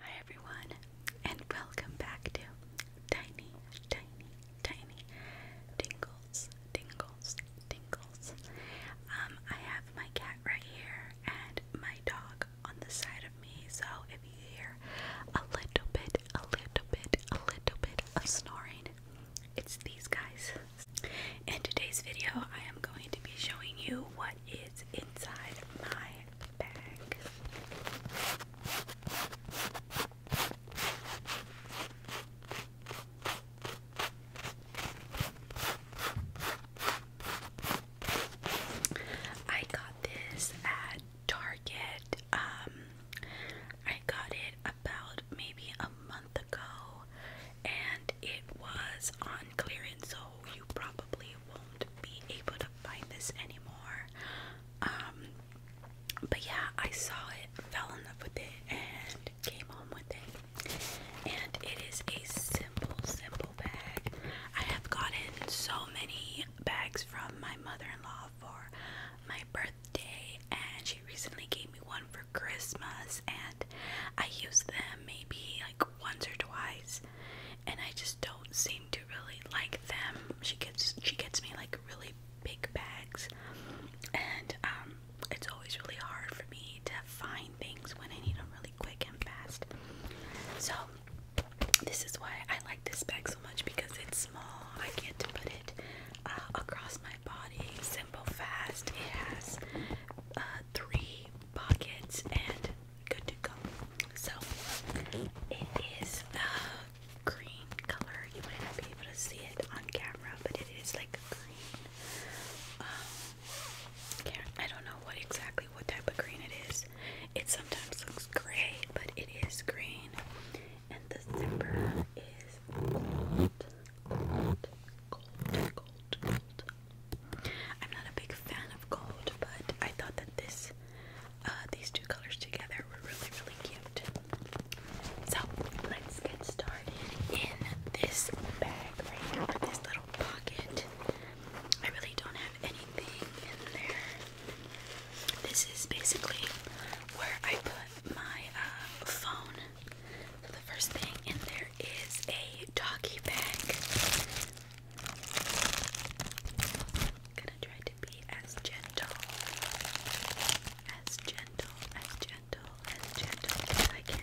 Hi everyone, and welcome back to Tiny, Tiny, Tiny Tingles, Tingles, Tingles. Um, I have my cat right here and my dog on the side of me, so if you hear a little bit, a little bit, a little bit of snoring, it's these guys. In today's video, I am going to be showing you what is inside my bag. I got this at Target. Um, I got it about maybe a ago and it was on clearance, so you probably won't be able to find this anymore. Um, but yeah, I saw it, fell in love with it, and came home with it. And it is a simple, simple bag. I have gotten so many bags from my mother in law for my birthday, and she recently gave me one for. Christmas and I use them maybe like once or twice and I just don't seem to really like them. She gets she gets me like really big bags and um, it's always really hard for me to find things when I need them really quick and fast. So this is why I like this bag so much because it's small. I get to put it uh, across my simple fast it has uh, three pockets and good to go so it is a green color you might not be able to see it on camera but it is like green um, I don't know what exactly what type of green it is it sometimes looks gray but it is green and the zipper is gold, gold, gold, gold, gold. I'm not a big fan of gold, but I thought that this, uh, these two colors together were really, really cute. So let's get started in this bag right now, this little pocket. I really don't have anything in there. This is basically where I put my uh, phone so the first thing in there is a doggy bag. Gonna try to be as gentle, as gentle, as gentle, as gentle as I can.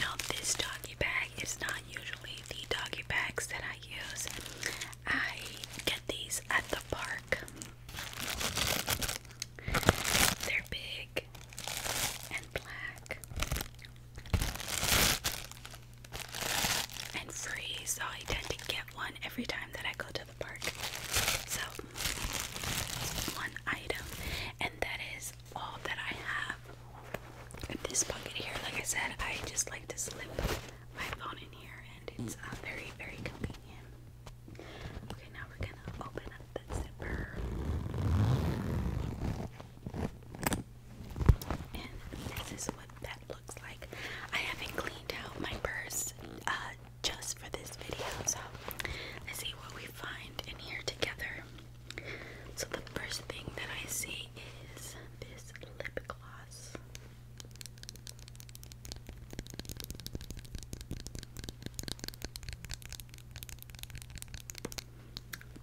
Now, this doggy bag is not usually the doggy bags that I use. I get these at the park. They're big and black and free, so I tend to get one every time that I go to one item, and that is all that I have this pocket here. Like I said, I just like to slip my phone in here, and it's uh, very, very convenient. Okay, now we're gonna open up the zipper. And this is what that looks like. I haven't cleaned out my purse uh, just for this video. So let's see what we find in here together. So the first thing that I see is this lip gloss.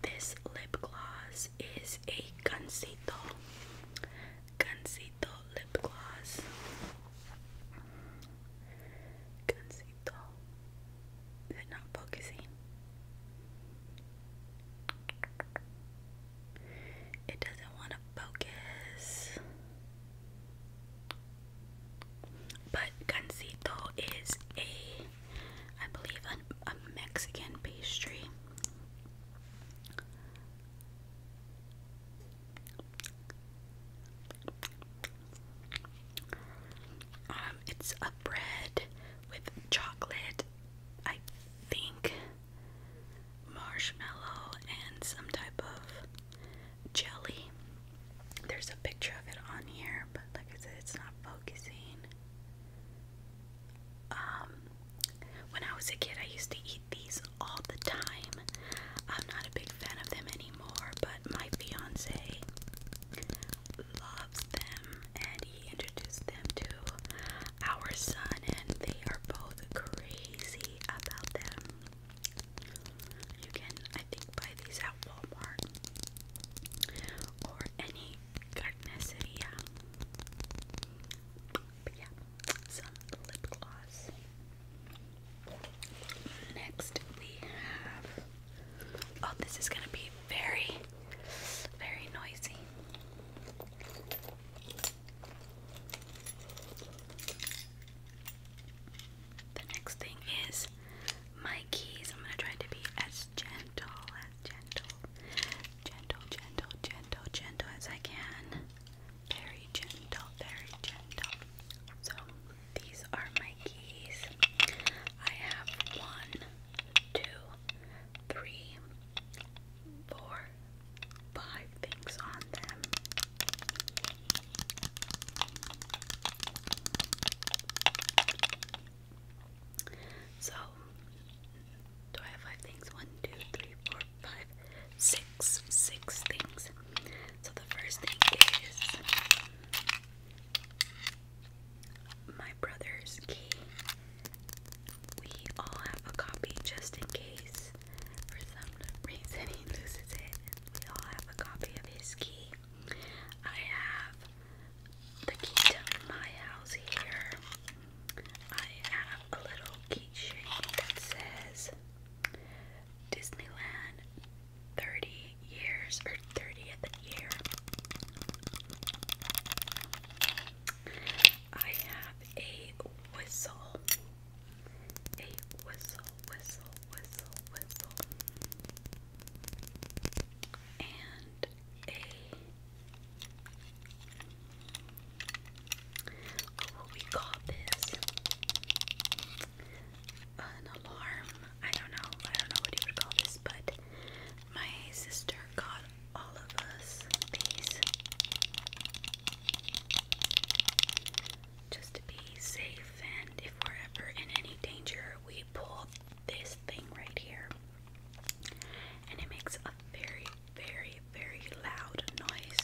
This lip gloss is a Gansito. Gansito lip gloss. Conceito. Is it not focusing? It doesn't want to focus. But Gansito is a, I believe, a Mexican pastry. Um, it's a bread with chocolate, I think, marshmallow, and some type of jelly. There's a picture of it on here, but like I said, it's not focusing. Um, when I was a kid, I used to eat these all the time. I'm not a big fan of them anymore, but my fiance loves them and he introduced them to our son, and they are both crazy about them. You can, buy these at Walmart or any Garden But yeah, some lip gloss. Next, we have. Oh, this is gonna be very, very noisy. The next thing is my keys. I'm gonna try to be as gentle, gentle, gentle, gentle, gentle, gentle as I can very gentle, very gentle. So these are my keys. I have one, two, three, four, five things on them. So, do I have five things? One, two, three, four, five, six, six things. So the first thing is my brother's key. We all have a copy just in case for some reason he loses it. We all have a copy of his key. I have the key to my house here. I have a little keychain that says Disneyland 30 years or 30th year. I have a whistle. A whistle, whistle, whistle, whistle. And a what will we call this? An alarm? I don't know. I don't know what you would call this, but my sister got all of us these just to be safe, and if we're ever in any danger, we pull this thing right here, and it makes a very very, very loud noise.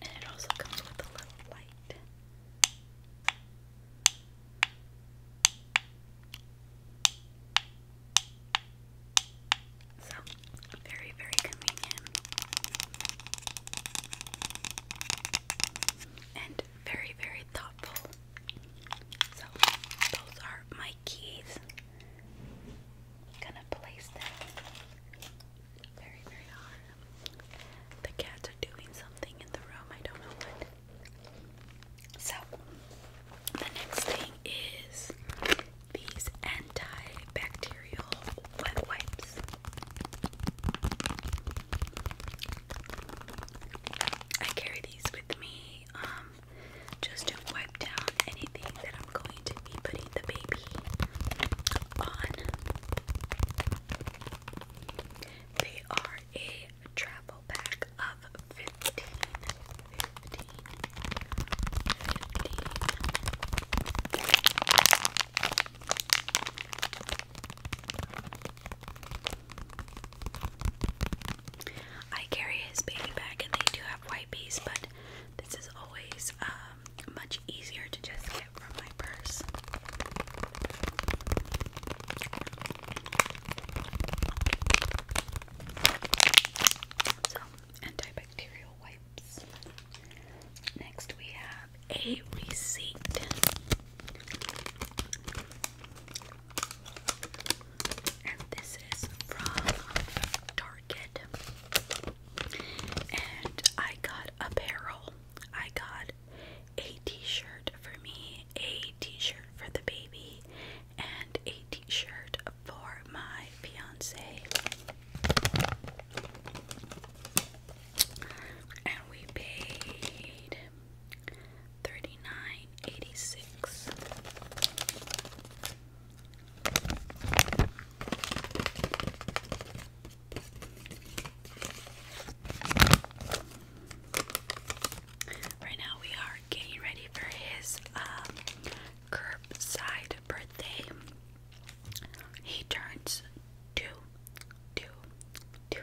And it also comes with a little light. So, very, very convenient. And very, very thoughtful. So, those are my keys gonna place them very, very hard. The cats are doing something in the room, I don't know what. So, the next thing is these antibacterial wet wipes. I carry these with me um, just don't wipe down anything that I'm going to be putting the baby on. They are a travel pack of 15. I carry his baby bag and they do have wipes, but this is always um, much easier to just get from my purse. So, antibacterial wipes. Next, we have a receipt. And this is from Target. And I got apparel. I got a t shirt for me, a t shirt for the baby, and a t shirt for my fiance. And we paid Thirty-nine eighty-six. Right now we are getting ready for his um, curbside birthday. He turns two, two, two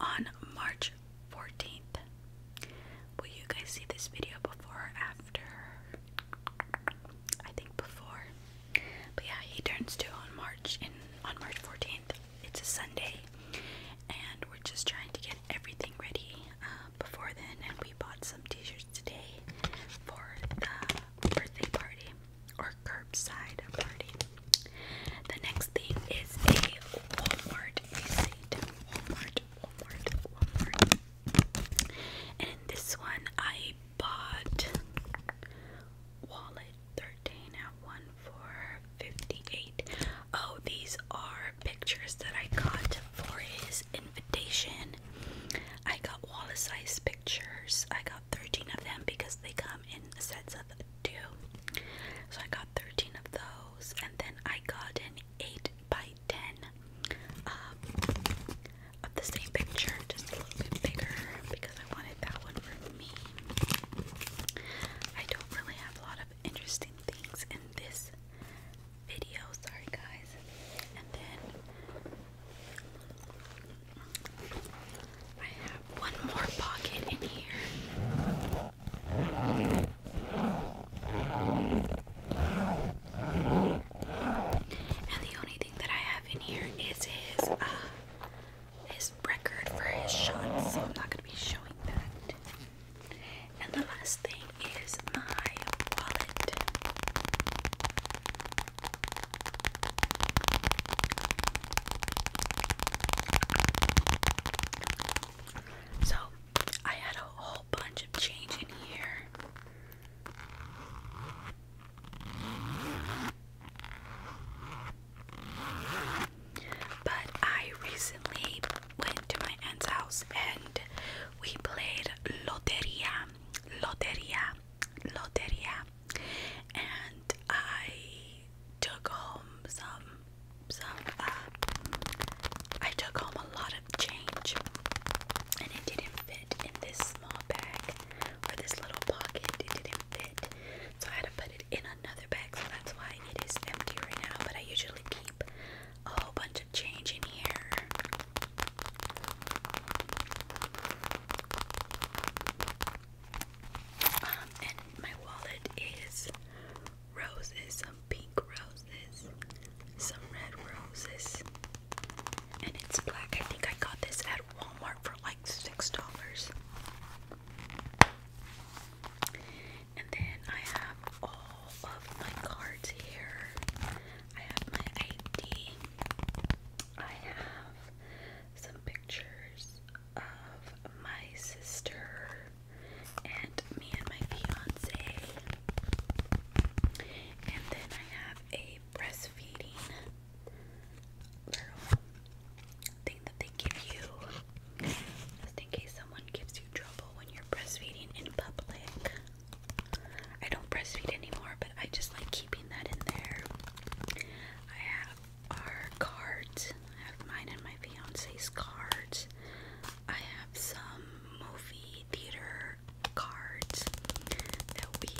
on March 14th. Will you guys see this video before or after? I think before. But yeah, he turns two on March and on March 14th. It's a Sunday, and we're just trying to get everything ready uh, before then. And we bought some T-shirts today for the birthday party or curbside party. The next thing is a Walmart and this one I bought wallet 13 at one for 58. Oh, these are pictures that I got for his invitation. I got wallet size pictures. I got 13 of them because they come in sets of do. So I got 13 of those, and then I got an 8 by 10 um, of the same picture, just a little bit bigger because I wanted that one for me. I don't really have a lot of interesting things in this video, sorry guys. And then. I have one more pocket in here. And the only thing that I have in here is his uh, his record for his shots, so I'm not gonna be showing that. And the last thing is my wallet. So, I had a whole bunch of change in here. But I recently went to my aunt's house and we played Loteria, Loteria, Loteria. And I I took home some some uh, I took home a lot of change and it didn't fit in this small bag or this little pocket. It didn't fit. So I had to put it in another bag, so that's why it is empty right now. But I usually keep a whole bunch of change in here. Um, and my wallet is roses, some pink roses, some red roses, and it's black. I think I got this at Walmart for like six dollars. And then I have all of my cards here. I have my ID. I have some pictures of my sister and me and my fiance. And then I have a breastfeeding thing that they give you just in case someone gives you trouble when you're breastfeeding in public. I don't breastfeed anymore, but I just like keeping that in there. I have are cards. I have mine and my fiance's cards. I have some movie theater cards that we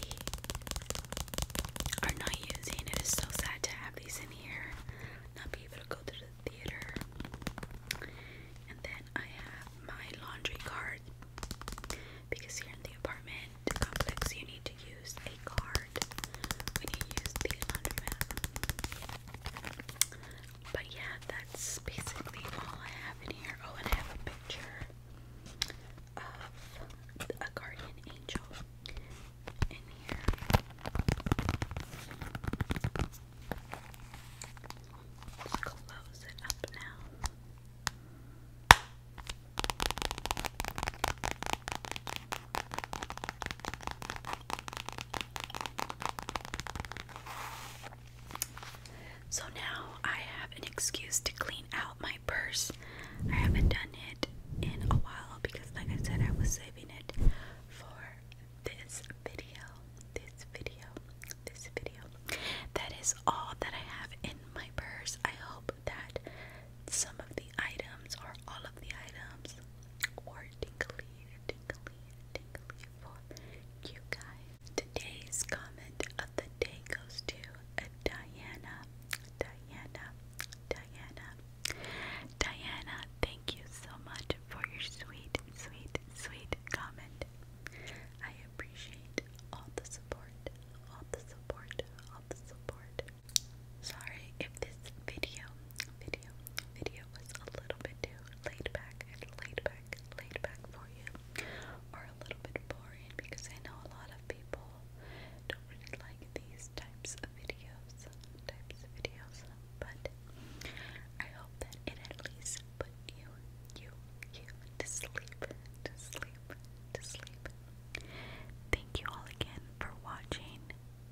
are not using. It is so sad to have these in here, not be able to go to the theater. And then I have my laundry card because here in the apartment complex, you need to use a card when you use the laundromat. But yeah, that's basically all I have in here. Oh, and I have a picture of a guardian angel in here. Let's close it up now. So now I have an excuse to clean out my purse. I haven't done it in a while because, like I said, I was saving it for this video. This video. This video. That is all that I have in my purse. I hope that some of the items or all of the items were tingly, tingly, tingly for you guys. Today's comment of the day goes to Diana, Diana, Diana, Diana. Thank you so much for your sweet, sweet, sweet comment. I appreciate all the support, all the support, all Sorry if this video, video, video was a little bit too laid back laid back, laid back for you, or a little bit boring because I know a lot of people don't really like these types of videos, types of videos. But I hope that it at least put you, you, you to sleep, to sleep, to sleep, Thank you all again for watching.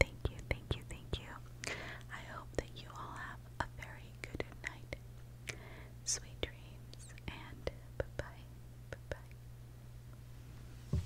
Thank you, thank you, thank you. I hope that you all have a very good night. Sweet dreams and bye bye. Bye